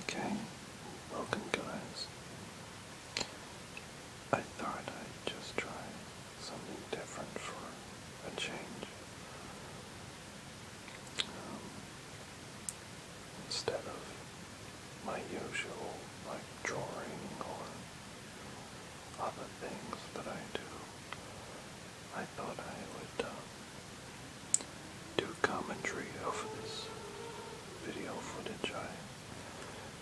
Okay, welcome guys. I thought I'd just try something different for a change. Um, instead of my usual like drawing or other things that I do, I thought I would uh, do commentary over this video footage I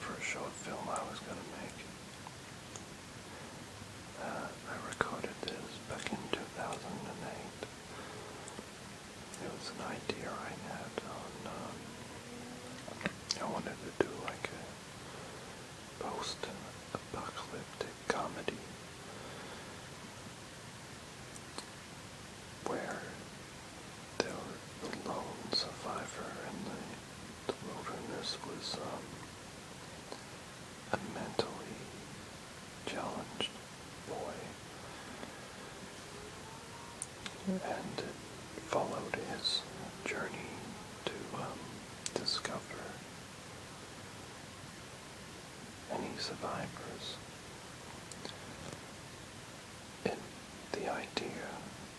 for a short film I was going to make. Uh, I recorded this back in 2008. It was an idea I had um, I wanted to do like a post-apocalyptic comedy where there the, the lone survivor in the, wilderness was um, a mentally challenged boy. And it followed his journey to um, discover any survivors. And the idea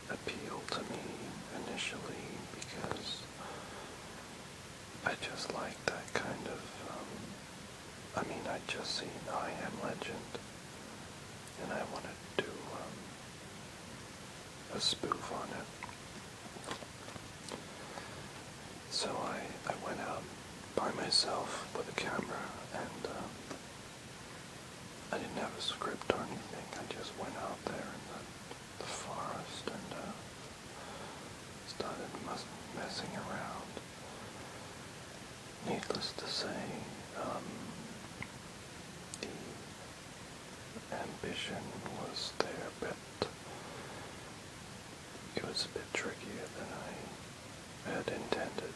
appealed to me initially because I just like that kind of, um, I mean, I just seen I Am Legend, and I wanted to do um, a spoof on it. So I, I went out by myself with a camera and uh, I didn't have a script or anything. I just went out there in the, forest and uh, started messing around. Needless to say, um, the ambition was there, but it was a bit trickier than I had intended.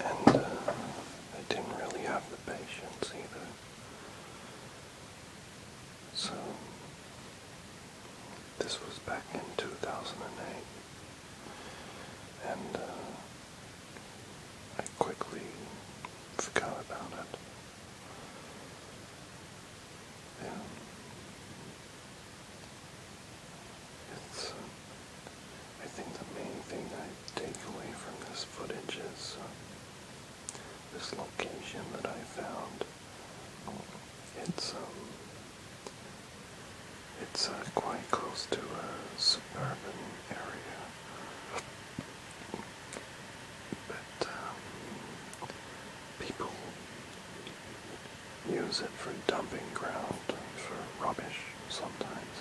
And uh, I didn't really have the patience either. So, this was back in 2008, and uh, I quickly forgot about it. Yeah. It's, I think the main thing I take away from this footage is uh, this location that I found. It's um, it's uh, quite close to a suburban area but um, people use it for dumping ground, for rubbish sometimes.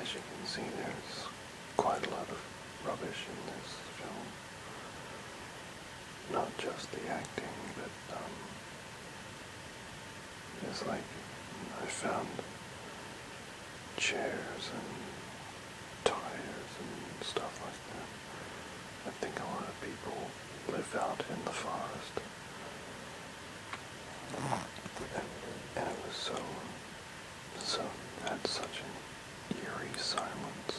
As you can see, there's quite a lot of rubbish in this film. Not just the acting, but um, it's like I found chairs and tires and stuff like that. I think a lot of people live out in the forest. And, and it was so, so, had such an eerie silence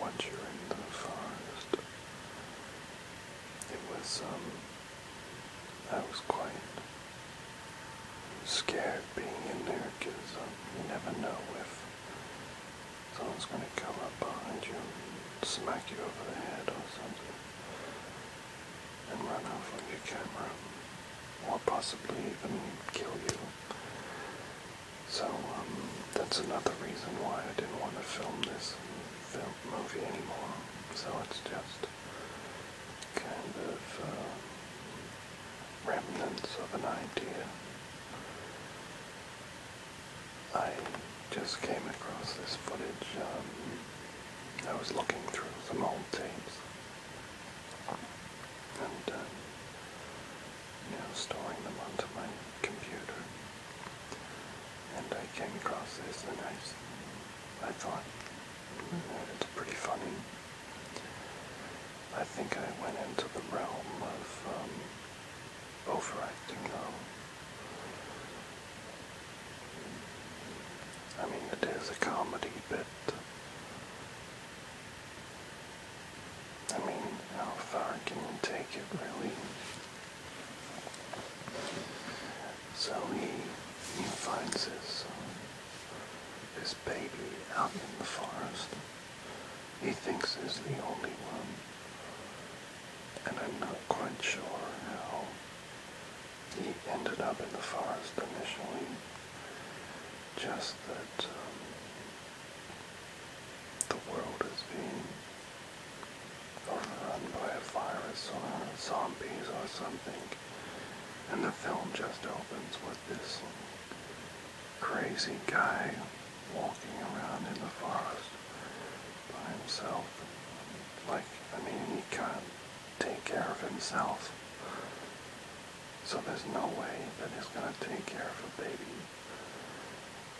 once you're in the forest. It was, um, I was quite scared being in there because um, you never know if Someone's going to come up behind you and smack you over the head or something and run off on your camera or possibly even kill you. So um, that's another reason why I didn't want to film this film movie anymore. So it's just kind of uh, remnants of an idea. I just came across this footage. Um, I was looking through some old tapes and, uh, you know, storing them onto my computer. And I came across this and I, thought, hmm, it's pretty funny. I think I went into the realm of um, overacting I mean, it is a comedy bit. I mean, how far can you take it, really? So he, he finds his, um, his baby out in the forest he thinks is the only one. And I'm not quite sure how he ended up in the forest initially. Just that um, the world is being overrun by a virus or zombies or something. And the film just opens with this crazy guy walking around in the forest by himself. Like, I mean, he can't take care of himself. So there's no way that he's going to take care of a baby.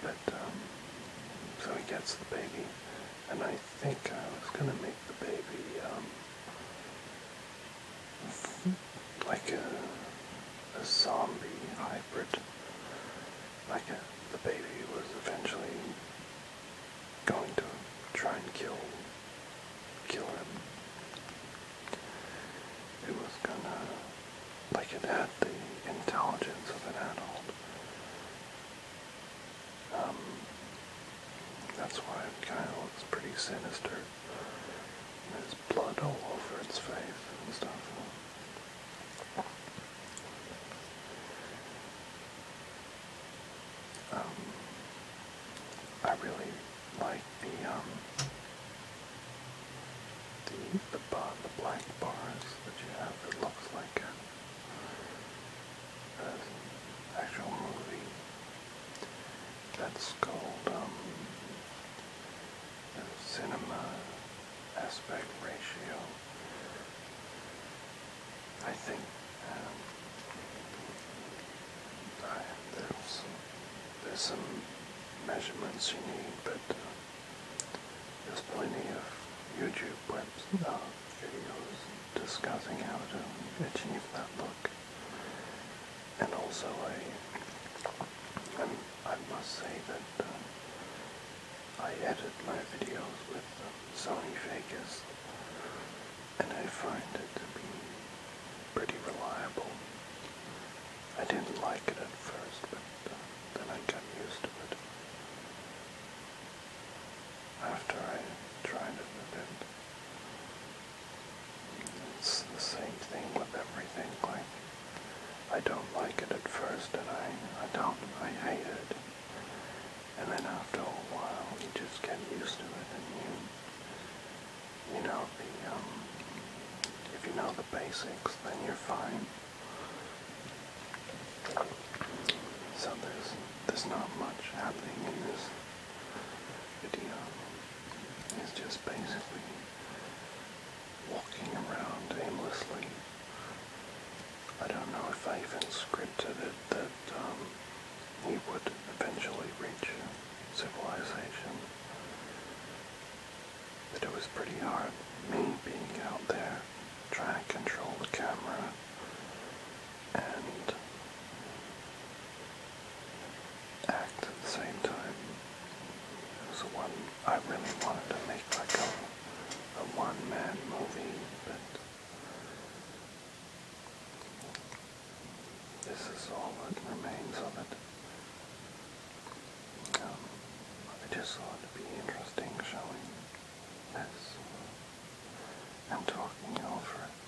But, um, so he gets the baby. And I think I was going to make the baby, um, like a, a zombie hybrid. Like the baby was eventually going to try and kill kill him. It was gonna like it had the intelligence of an adult. Um, that's why it kind of looks pretty sinister. There's blood all over its face and stuff. Um, I really like the um, the the bar, the black bars that you have. It looks like an actual movie. That's called um, cinema aspect ratio. I think um, there's, there's some measurements you need, but uh, there's plenty of YouTube web uh, videos discussing how to achieve that look. And also, I, I must say that uh, I edit my videos with um, Sony Vegas and I find it to be pretty reliable. I didn't like it at first, but uh, then I got used to it. After I tried it a bit, it's the same thing with everything, like I don't like it at first, and I, I don't, I hate it. And then after a while, you just get used to it, and you, you know the, um, if you know the basics, then you're fine. So there's, there's not much happening in this video. It's just basically walking around aimlessly. I don't know if I even scripted it that um, he would eventually reach civilization. But it was pretty hard, me being out there, trying to control the camera, and act at the same time. It was a one I really wanted to make like a, a one-man movie, but this is all that remains of it. Um, I just thought it'd be interesting showing this. I'm talking over it.